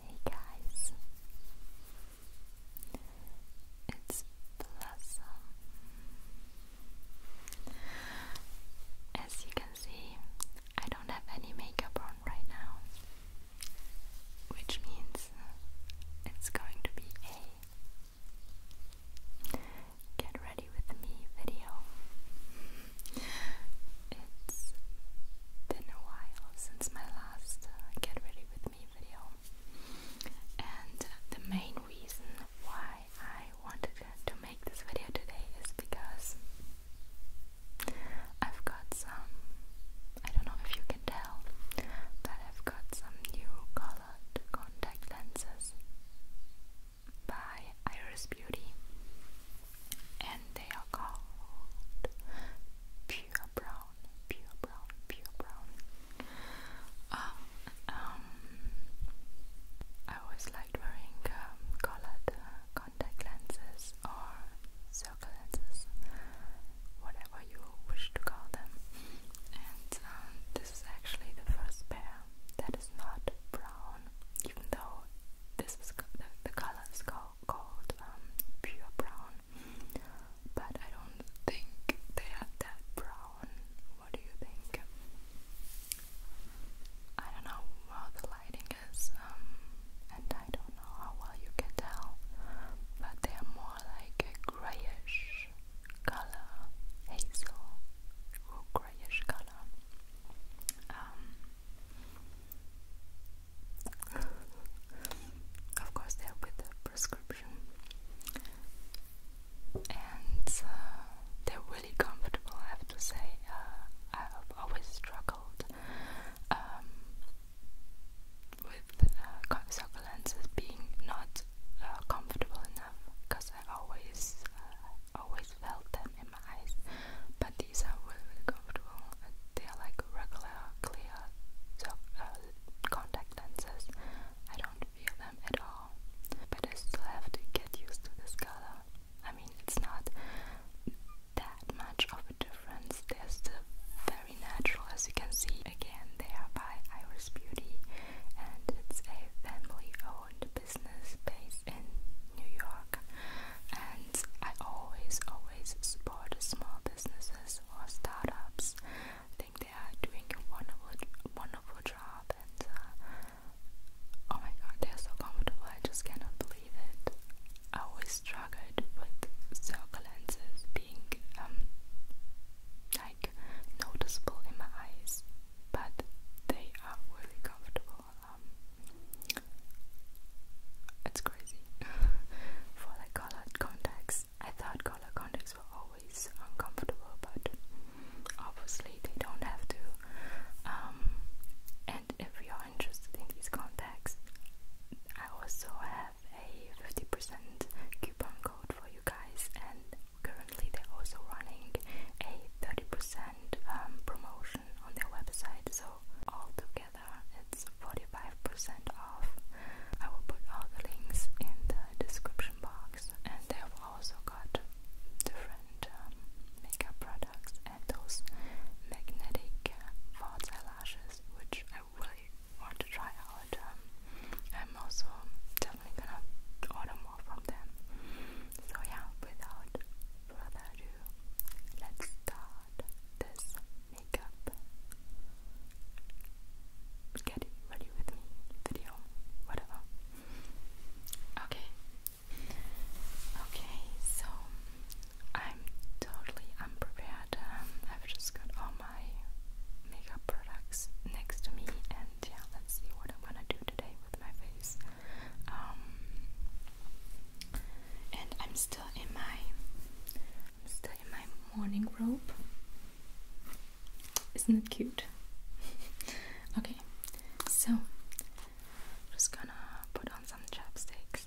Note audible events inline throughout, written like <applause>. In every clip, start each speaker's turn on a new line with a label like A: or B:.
A: Hey guys, it's Blossom. As you can see, I don't have any makeup on right now, which means it's going to be a get ready with me video. It's been a while since my last uh, get ready with me video, and the main reason why I wanted to make this video today is because I've got some. I don't know if you can tell, but I've got some new color contact lenses by Iris Beauty, and they are called Pure Brown, Pure Brown, Pure Brown. Um, um I always liked wearing um, colored uh, contact lenses or circle lenses, whatever you wish to call them. And um, this is actually the first pair that is not brown even though this is the, the color is called, um, pure brown, but I don't think they are that brown. What do you think? I don't know how the lighting is, um, and I don't know how well you can tell, but they are more like a grayish color, hazel, or grayish color. Um, of course, they're with a prescription, and uh, they're really comfortable. I have to say, uh, I've always struggled um, with uh, succulences being not uh, comfortable enough because I always, always always felt them in my eyes. But these are really, comfortable. They are like regular, clear uh, contact lenses. I don't feel them at all. But I still have to get used to this color. I mean, it's not that much of a difference. They're still very natural, as you can see. Again, they are by Iris Beauty, and it's a family owned business based in New York, and I always, always support small businesses or startups. think they are doing a wonderful, wonderful job, and uh, oh my god, they're so comfortable. I just cannot believe it. I always struggled with circle lenses being um like noticeable in my eyes but they are really comfortable. Um, it's crazy. <laughs> For the colored contacts, I thought color contacts were always uncomfortable, but obviously they don't have to. Um, and if you're interested in these contacts, I also have a 50% coupon code for you guys, Currently, they're also running a 30% um, promotion on their website, so altogether it's 45% off. I will put all the links in the description box, and they have also got different um, makeup products and those magnetic uh, false eyelashes, which I really want to try out. Um, I'm also definitely gonna order more from them. So yeah, without further ado, let's start this makeup get ready with me video, whatever. Okay. Okay, so I'm totally unprepared. Um, I've just got all my makeup products next to me and yeah, let's see what I'm gonna do today with my face. Um, and I'm still in my still in my morning robe. Isn't it cute? <laughs> okay, so I'm just gonna put on some chapsticks.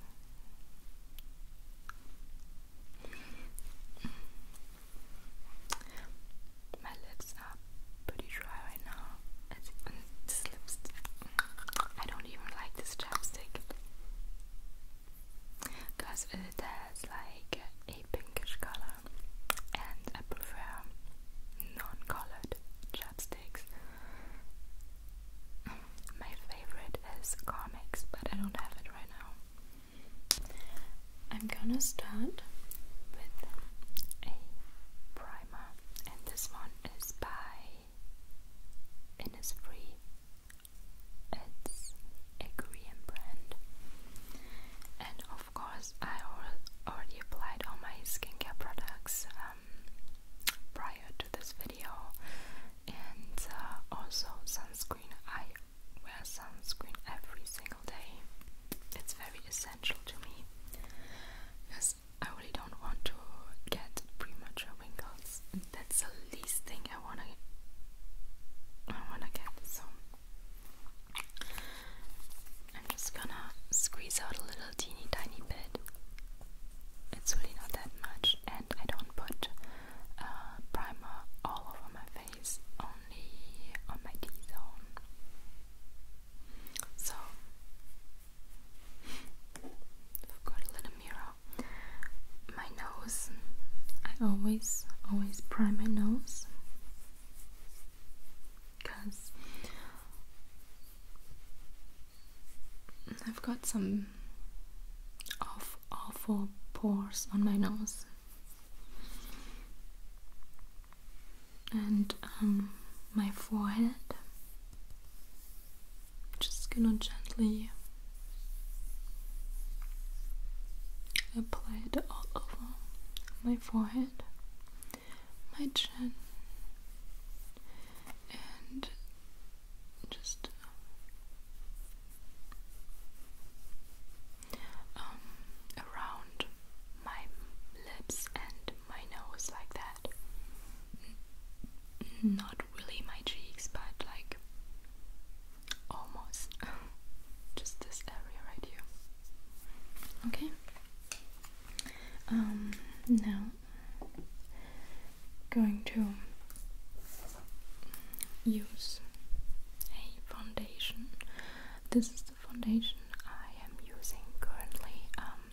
A: My lips are pretty dry right now. It's, this lipstick. I don't even like this chapstick because it has like a pinkish color, and I prefer non-colored chapsticks. My favorite is Comics, but I don't have it right now. I'm gonna start with a primer, and this one is by Innisfree. It's a Korean brand, and of course, I already applied all my skincare products um, prior to this video, and uh, also sunscreen. I wear sunscreen every single day it's very essential to me because I really don't want to get premature wrinkles. That's the least thing I wanna I wanna get. So I'm just gonna squeeze out a little teeny tiny bit. It's really not that much, and I don't put uh, primer all over my face, only on my D zone. So I've got a little mirror. My nose. I always always prime my nose because I've got some off awful pores on my nose and um, my forehead. Just gonna gently apply it all over my forehead, my chin, and just um, around my lips and my nose like that. not really my cheeks, but like almost <laughs> just this area right here. Okay. Um, now going to use a foundation. This is foundation I am using currently. Um,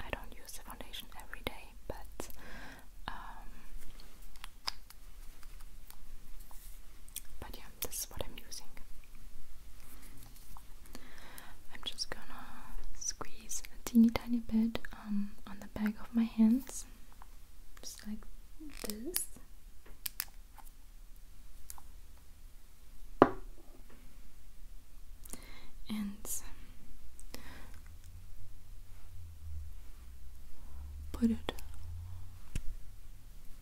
A: I don't use the foundation every day, but um, but yeah, this is what I'm using. I'm just gonna squeeze a teeny tiny bit um, on the back of my hands, just like this and put it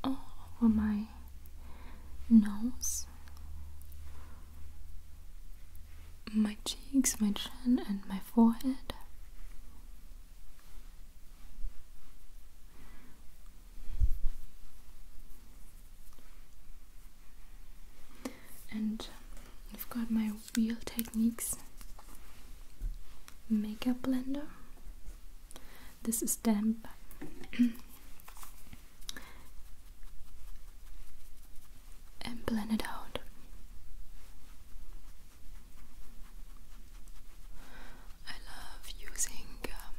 A: all over my nose, my cheeks, my chin, and my forehead. And I've got my Wheel Techniques makeup blender. This is damp. <coughs> and blend it out. I love using um,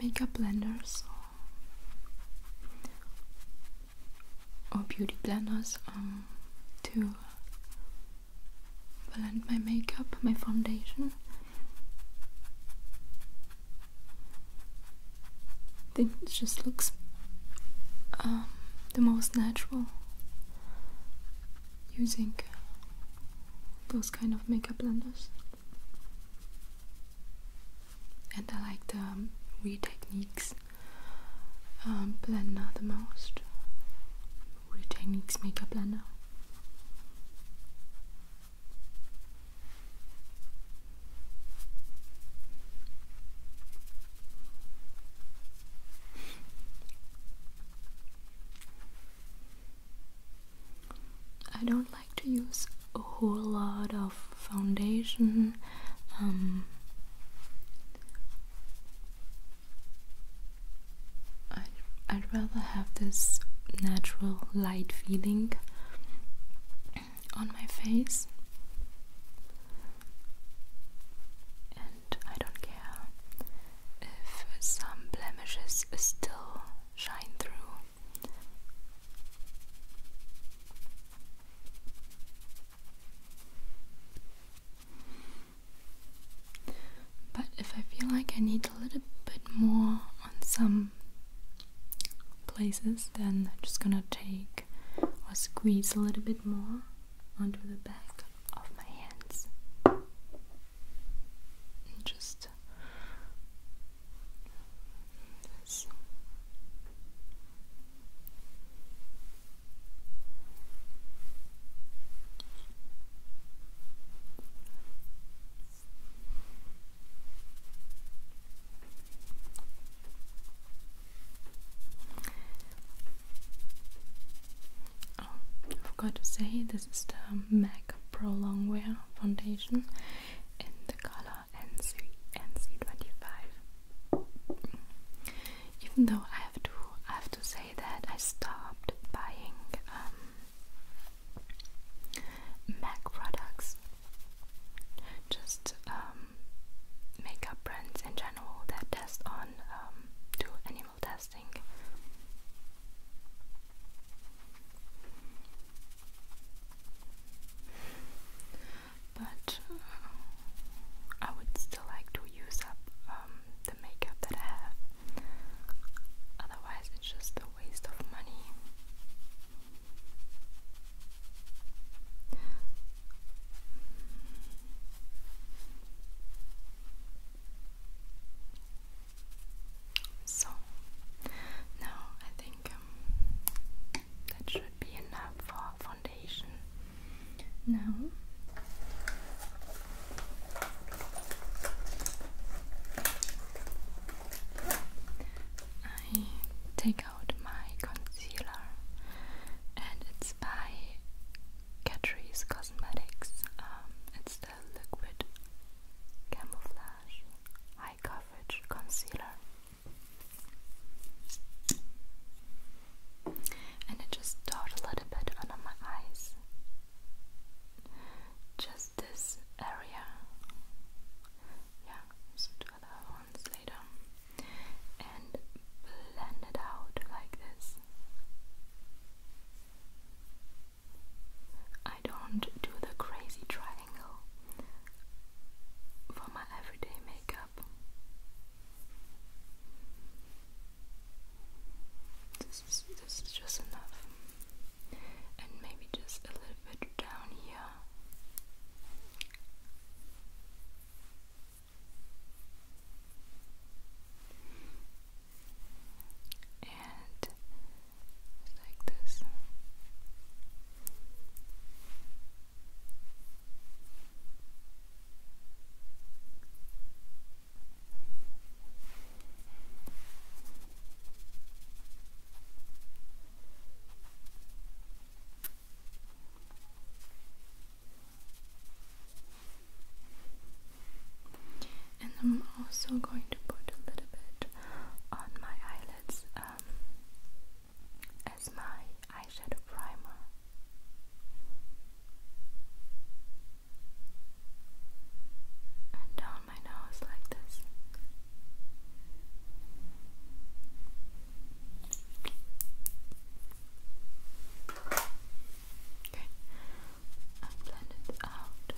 A: makeup blenders or, beauty blenders um, to blend my makeup, my foundation. it just looks um, the most natural using those kind of makeup blenders and I like the um, Wii Techniques um, blender the most. Wii Techniques Maker Blender. I don't like to use a whole lot of foundation. Um, I'd, I'd rather have this natural light feeling on my face. And I don't care if some blemishes still shine through. But if I feel like I need a little bit more on some places, then I'm just gonna take or squeeze a little bit more onto the back of my hands just this. Oh, I forgot to say this is the MAC like Pro foundation in the color NC, NC25. Even though I have to, I have to say that I stopped buying um, MAC products, just um, makeup brands in general that test on um, do animal testing. But uh, I would still like to use up um, the makeup that I have. Otherwise, it's just a waste of money. So now I think um, that should be enough for foundation. Now I take out my concealer, and it's by Catrice Cosmetics. Um, Liquid Camouflage High Coverage Concealer. And I just dot a little bit under my eyes. Just this area. Yeah, so other ones later. And blend it out like this. I don't do the crazy triangle for my everyday makeup. This is just enough. And maybe just a little bit down here and like this and I'm also going to put a little bit on my eyelids um, as my eyeshadow primer. And down my nose like this. Okay, and blend it out.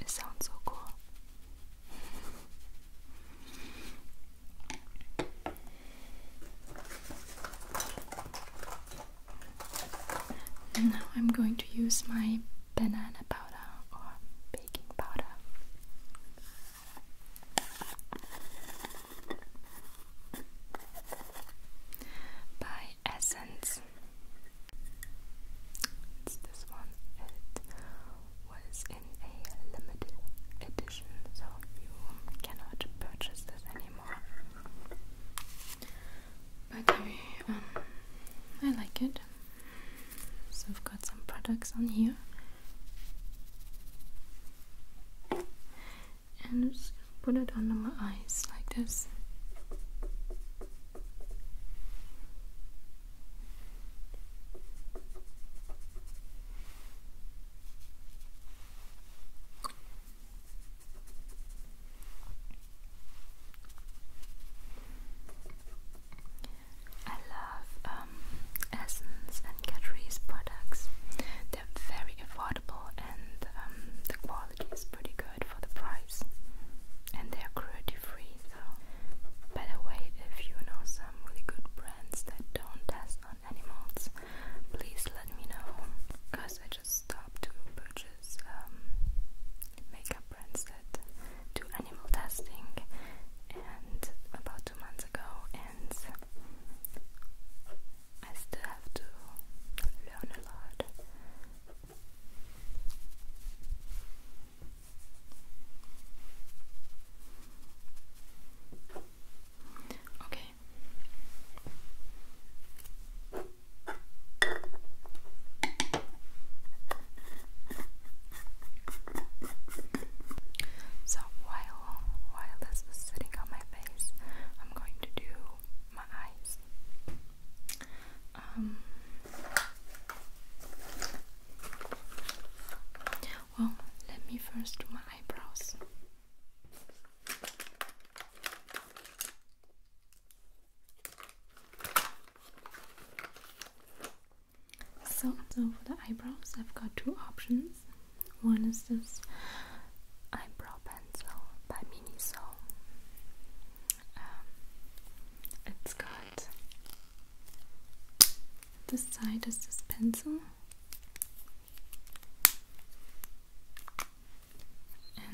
A: It sounds so cool. <laughs> And now I'm going to use my banana powder or baking powder. By Essence was in a limited edition, so you cannot purchase this anymore. But um, I, I like it. So I've got some products on here. And just put it under my eyes like this. I love um, Essence and Catrice products. They're very affordable and um, the quality is pretty good for the price. And they're cruelty free, so by the way, if you know some really good brands that don't test on animals, please let me know because I just stopped to purchase um, makeup brands that do animal testing and about two months ago and I still have to learn a lot. Okay. So while while this is sitting on my face, I'm going to do my eyes. Um well, let me first do my eyebrows. So, so for the eyebrows, I've got two options. One is this eyebrow pencil by Miniso. Um, it this side is this pencil,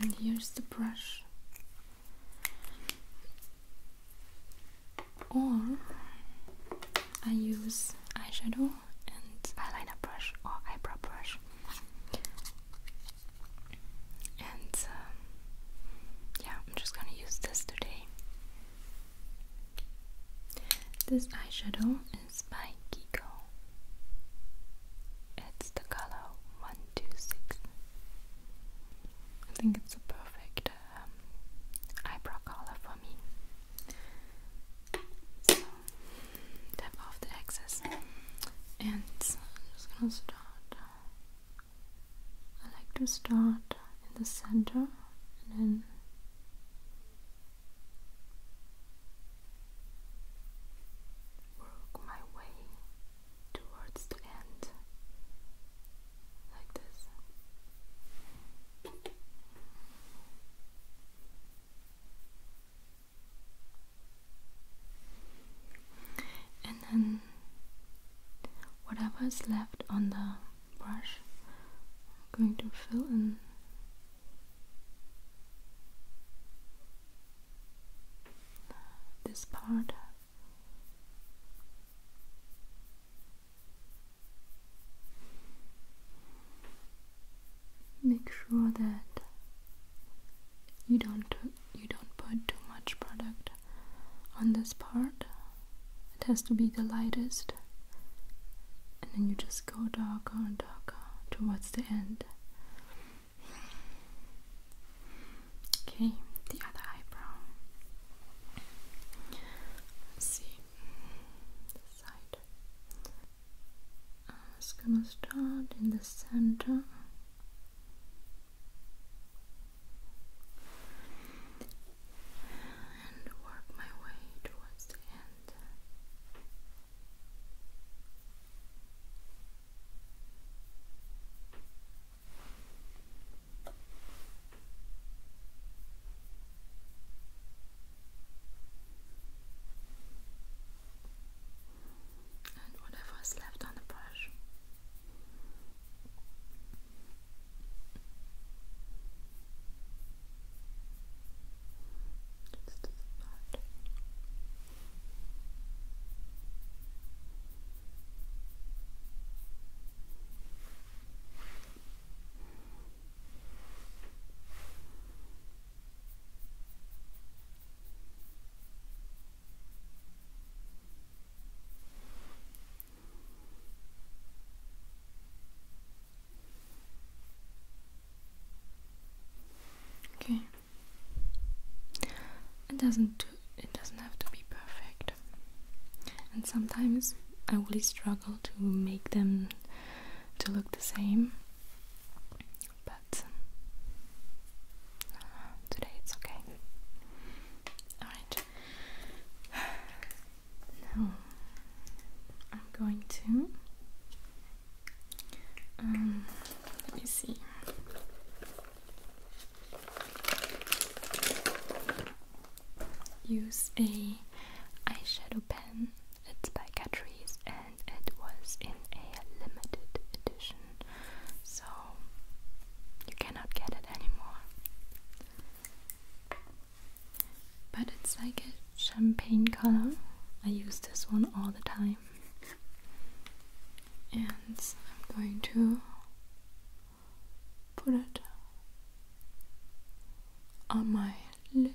A: and here's the brush or I use eyeshadow and eyeliner brush or eyebrow brush and um, yeah I'm just gonna use this today this eyeshadow is by Kiko. It's the color 126. I think it's a perfect um, eyebrow color for me. tap off the excess. And uh, I like to start in the center and then Work my way towards the end like this. And then whatever is left on the brush. I'm going to fill in this part. Make sure that you don't you don't put too much product on this part it has to be the lightest. And then you just go darker and darker towards the end. Okay, the other eyebrow. see this side. I'm just gonna start in the center and work my way towards the end. And whatever left on the brush, just a spot. Okay. It doesn't it doesn't have to be perfect. And sometimes I really struggle to make them to look the same. But today it's okay. Alright. Now <sighs> I'm going to. Um, let me see. Use a eyeshadow pen. It's by Catrice and it was in a limited edition, so you cannot get it anymore but it's like a champagne color. I use this one all the time, and I'm going to put it on my lid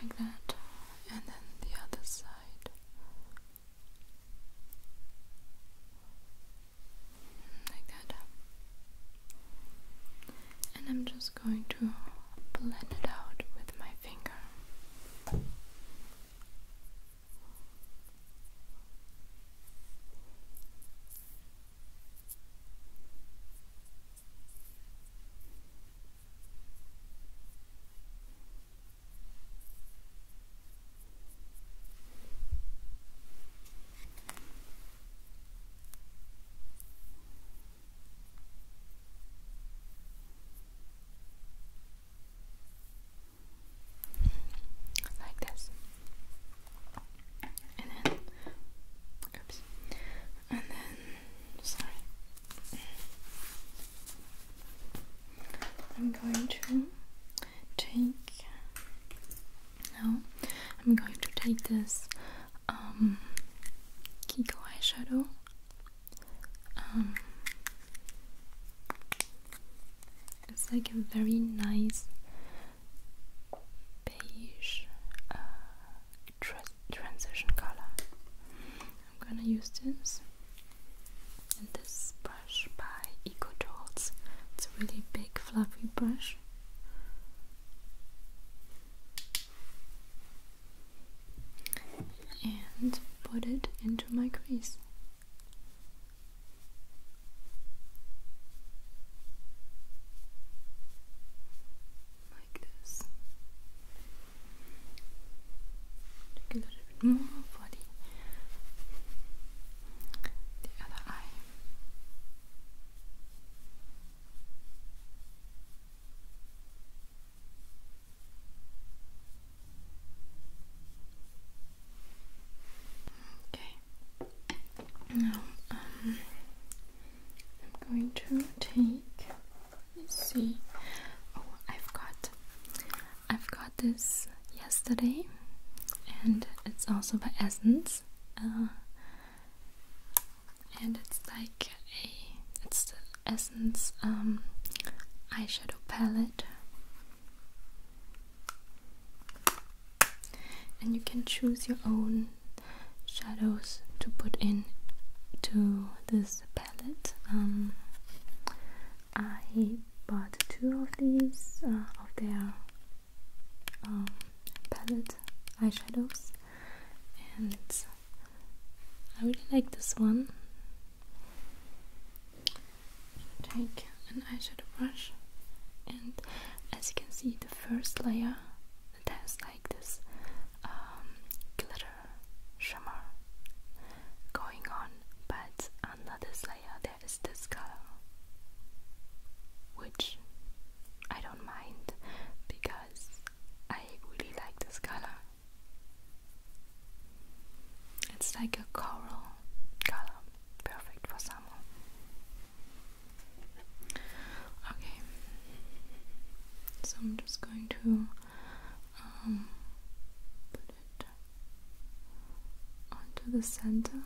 A: like that, and then the other side like that. And I'm just going to blend it out with my finger like this, and then, oops, and then, sorry, I'm going to take now I'm going to take this um, Kiko eyeshadow. Um, it's like a very nice beige uh, transition color. I'm gonna use this and this brush by Eco It's a really big fluffy brush. And put it into my crease. Like this. Take a little bit more for the other eye. Okay. Now um, I'm going to take. Let's see. Oh, I've got. I've got this yesterday, and it's also by Essence. Uh, and it's like a it's the essence um, eyeshadow palette and you can choose your own shadows to put in to this palette um, I bought two of these uh, of um, palette eyeshadows and I really like this one take an eyeshadow brush and as you can see the first layer it has like this um, glitter shimmer going on but another layer there there is this color, which I don't mind because I really like this color. It's like a coral color, perfect for summer. Okay, so I'm just going to um, put it onto the center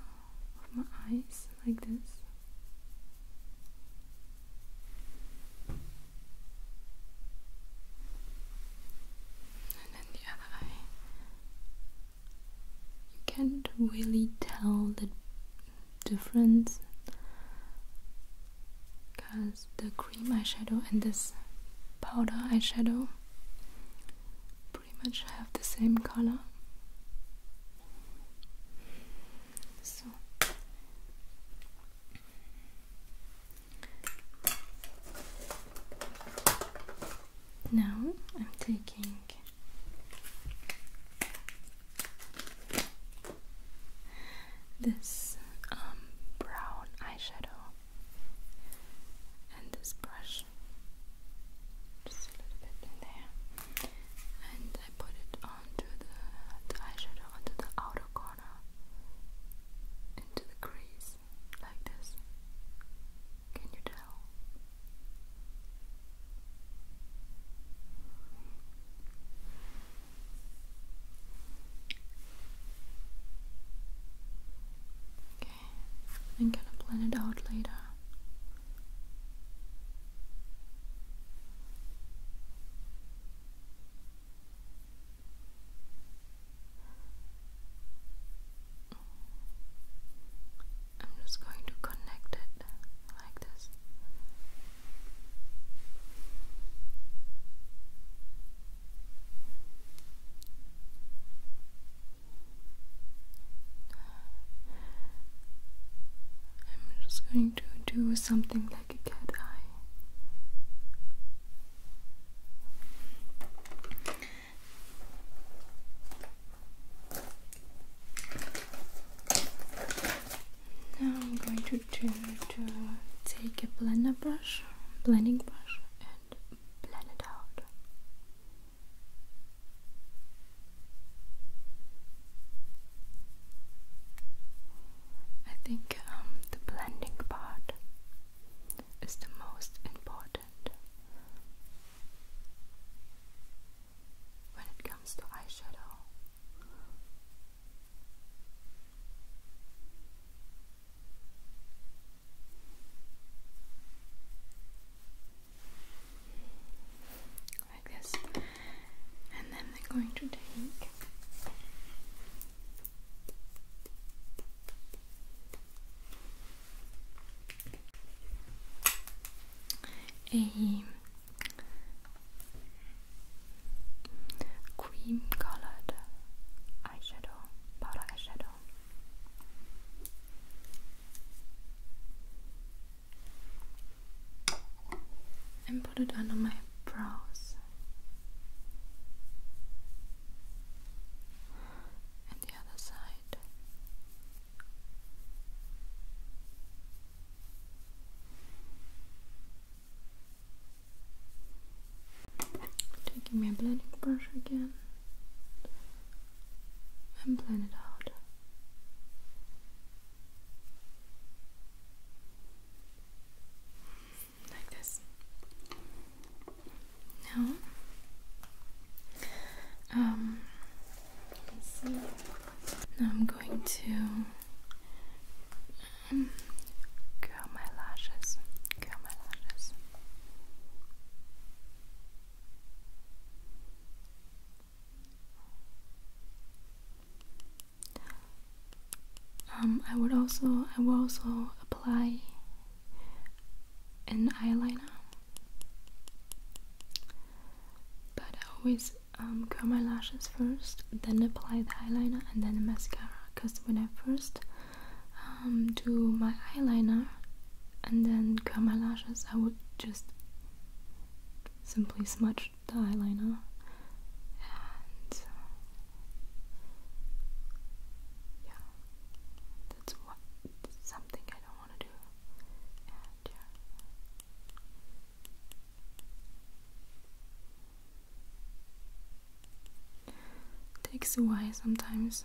A: my eyes like this. And then the other eye. You can't really tell the difference because the cream eyeshadow and this powder eyeshadow pretty much have the same color. So now I'm taking this um, brown eyeshadow and this brush much. Just a little bit in there. And I put it onto the, eyeshadow, onto the outer corner, into the crease, like this. Can you tell? and kind of blend it out later. I'm just going to connect it like this. I'm just going to do something like a cat eye. Now I'm going to do, to take a blender brush, blending brush, and blend it out. I think um, the blending part is the most important when it comes to eyeshadow like this, and then they're going to take a cream colored eyeshadow, powder eyeshadow and put it under my brows and the other side. Taking my blending brush again and blend it out. Like this. Now, um, Now I'm going to um, curl my lashes. Curl my lashes. Um, I would also I will also apply an eyeliner, but I always um, curl my lashes first, then apply the eyeliner and then the mascara. Cause when I first um, do my eyeliner and then curl my lashes, I would just simply smudge the eyeliner and uh, yeah that's what something I don't want to do takes a while sometimes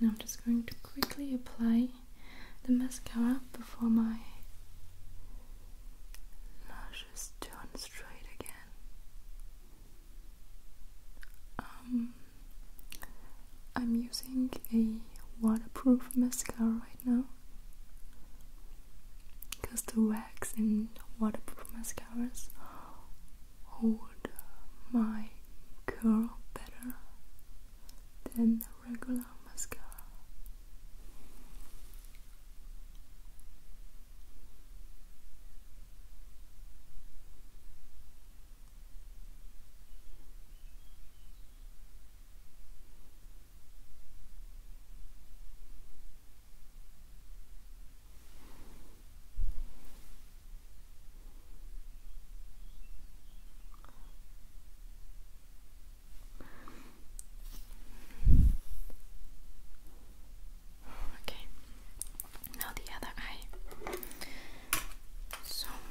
A: Now I'm just going to quickly apply the mascara before my lashes turn straight again. Um, I'm using a waterproof mascara right now because the wax in waterproof mascaras hold my curl better than regular mascara. Okay, now the other eye. So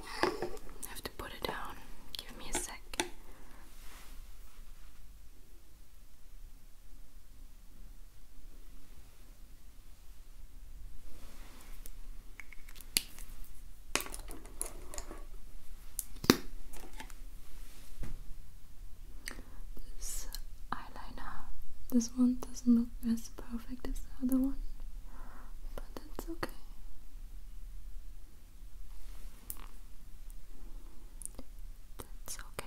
A: I have to put it down. Give me a sec. This eyeliner, this one doesn't look as perfect as the other one, but that's okay. That's okay.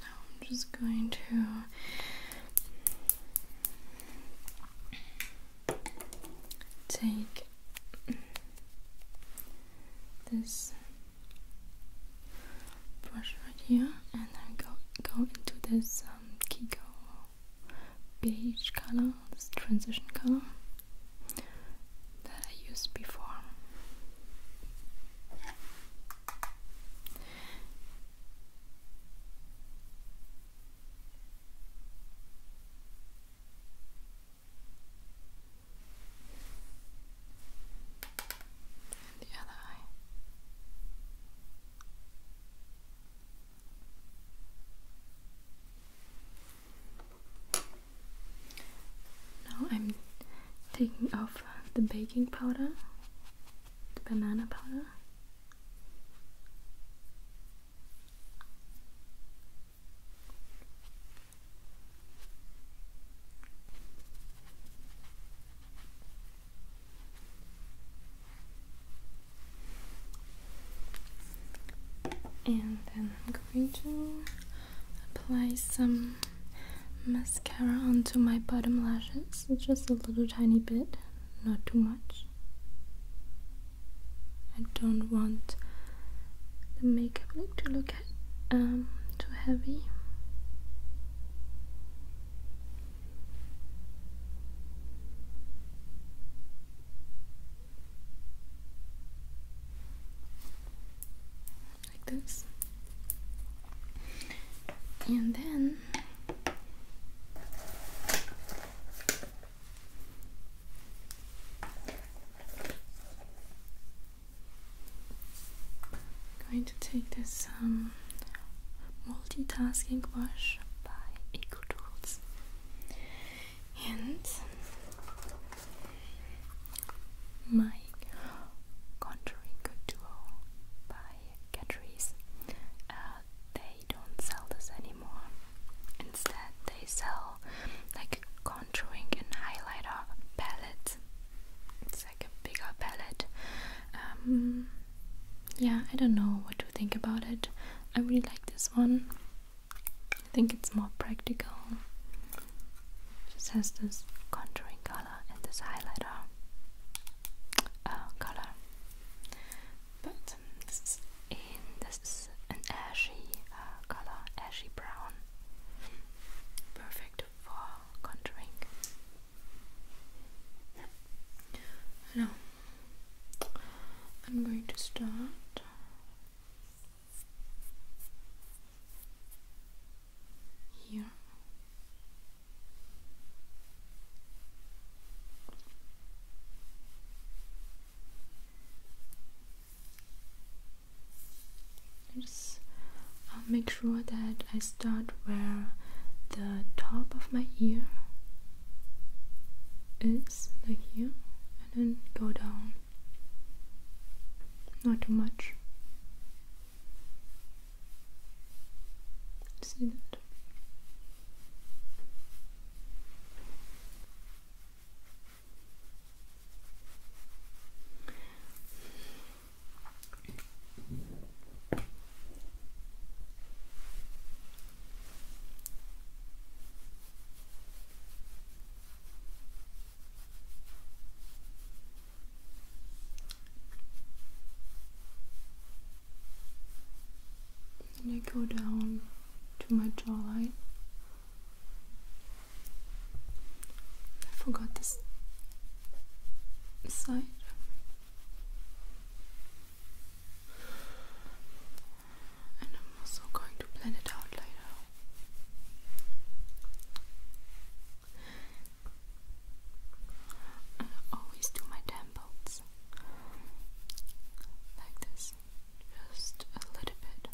A: Now I'm just going to take this brush right here and then go go into this um, Kiko beige color this transition color that I used before. the other eye. Now I'm taking off the baking powder, the banana powder and then I'm going to apply some mascara onto my bottom lashes just a little tiny bit not too much I don't want the makeup look to look um, too heavy like this and then I'm going to take this um, multitasking brush by Eco Tools and my contouring duo by Catrice. Uh, they don't sell this anymore. Instead, they sell like a contouring and highlighter palette. It's like a bigger palette. Um, yeah, I don't know what to think about it. I really like this one. I think it's more practical. Just has this contouring color and this highlighter uh, color. But this is an ashy uh, color, ashy brown. Perfect for contouring. I'm going to start here just i make sure that I start where the top of my ear is like here and then go down not too much. See that? And I go down to my jawline. I forgot this side and I'm also going to blend it out later. I always do my temples like this, just a little bit.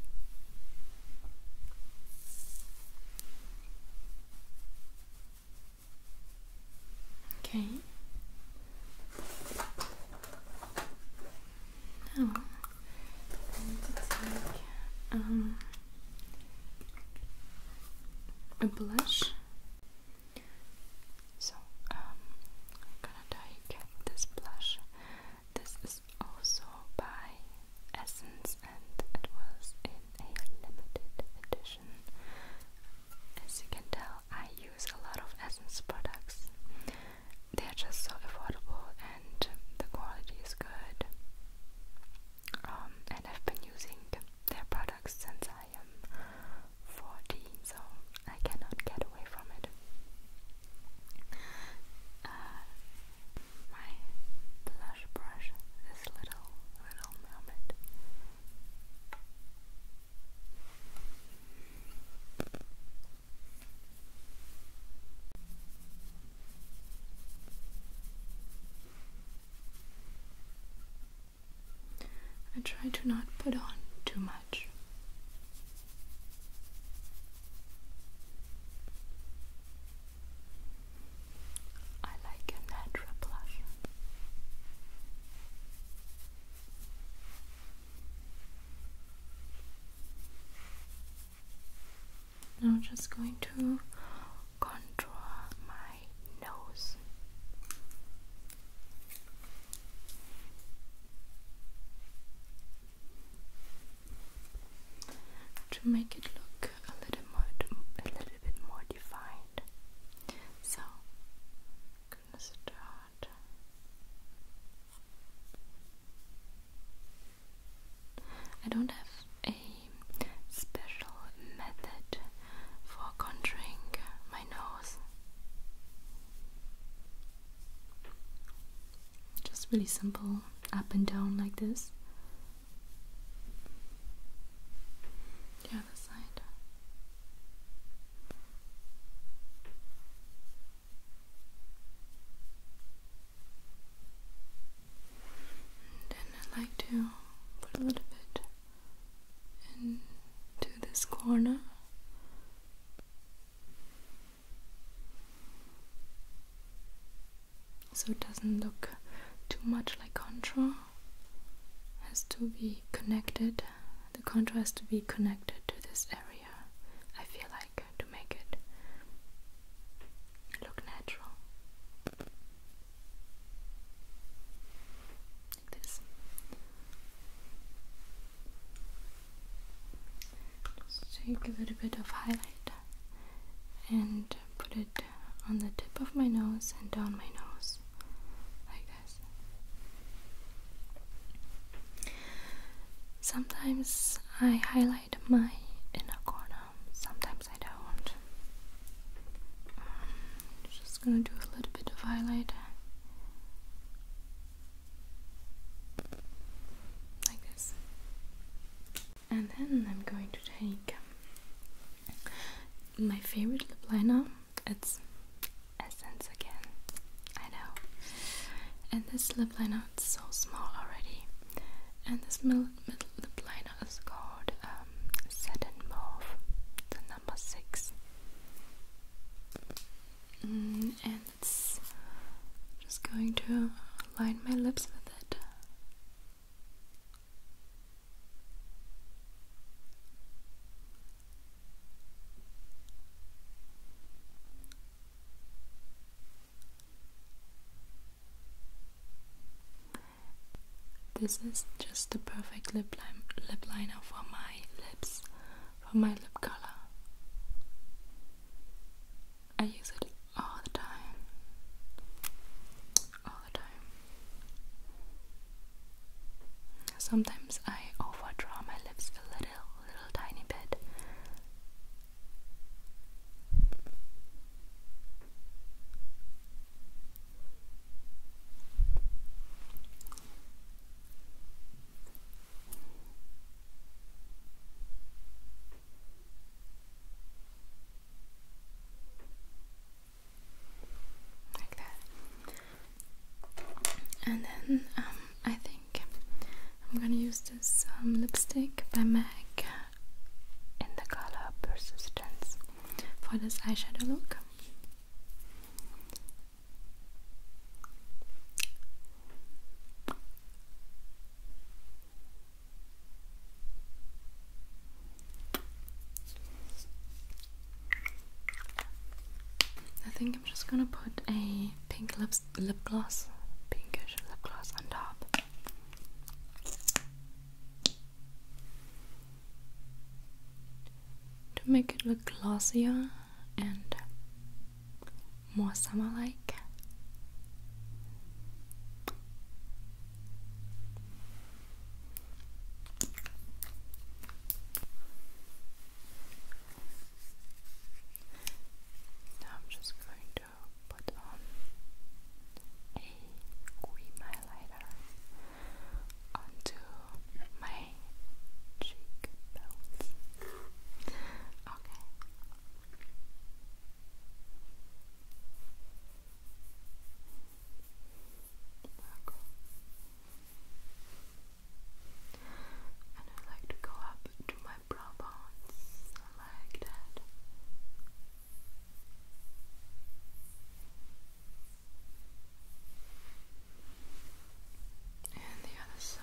A: Okay. Now oh. I need to take um, a blush. So um, I'm gonna take this blush. This is also by Essence, and it was in a limited edition. As you can tell, I use a lot of Essence products. They're just so affordable and the quality is good. Um, and I've been using their products since I am 14, so I cannot get away from it. Uh, my blush brush, this little, little moment. I try to not put on too much. I like a natural blush. Now I'm just going to contour my nose. To make it look a little more, a little bit more defined, so gonna start I don't have a special method for contouring my nose. Just really simple, up and down like this. The other side then i like to put a little bit into this corner. So it doesn't look too much like contour. Has to be connected. The contour has to be connected to this area uh, I feel like to make it look natural. Like this. Just take a bit of highlight and put it on the tip of my nose and down my nose. Like this. Sometimes I highlight my inner corner, sometimes I don't. Um, just gonna do a little bit of highlight. Like this. And then I'm going to take my favorite lip liner. It's essence again. I know. And this lip liner is so small already. And this middle, lip liner is called um, Satin Mauve, the number six. Mm, and it's just going to line my lips with it. This is just the perfect lip, lip liner for my lips, for my lip color. I use it all the time. All the time. Sometimes I overdraw my lips a little a little tiny bit. Like that. And then um, I think I'm gonna use this um, lipstick by MAC in the color Persistence for this eyeshadow look. I think I'm just gonna put a pink lipstick lip, gloss, pinkish lip gloss on top. To make it look glossier and more summer like. Now I'm just going to put on a cream highlighter onto my cheekbones. Okay. Okay. And I like to go up to my brow bones like that. And the other side.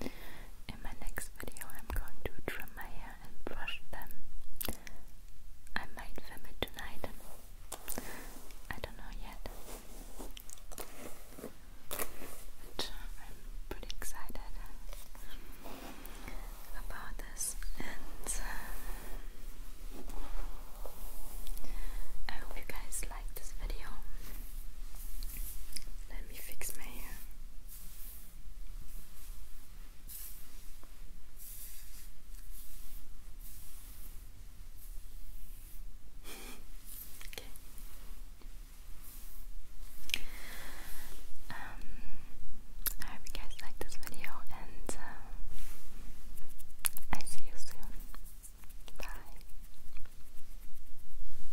A: In my next video, I'm going to trim my hair and brush them. I might film it tonight. I don't know yet. Uh, I'm pretty excited about this, and uh, I hope you guys like this video. Let me fix my hair okay. Um, I hope you guys like this video, and uh, I see you soon. Bye.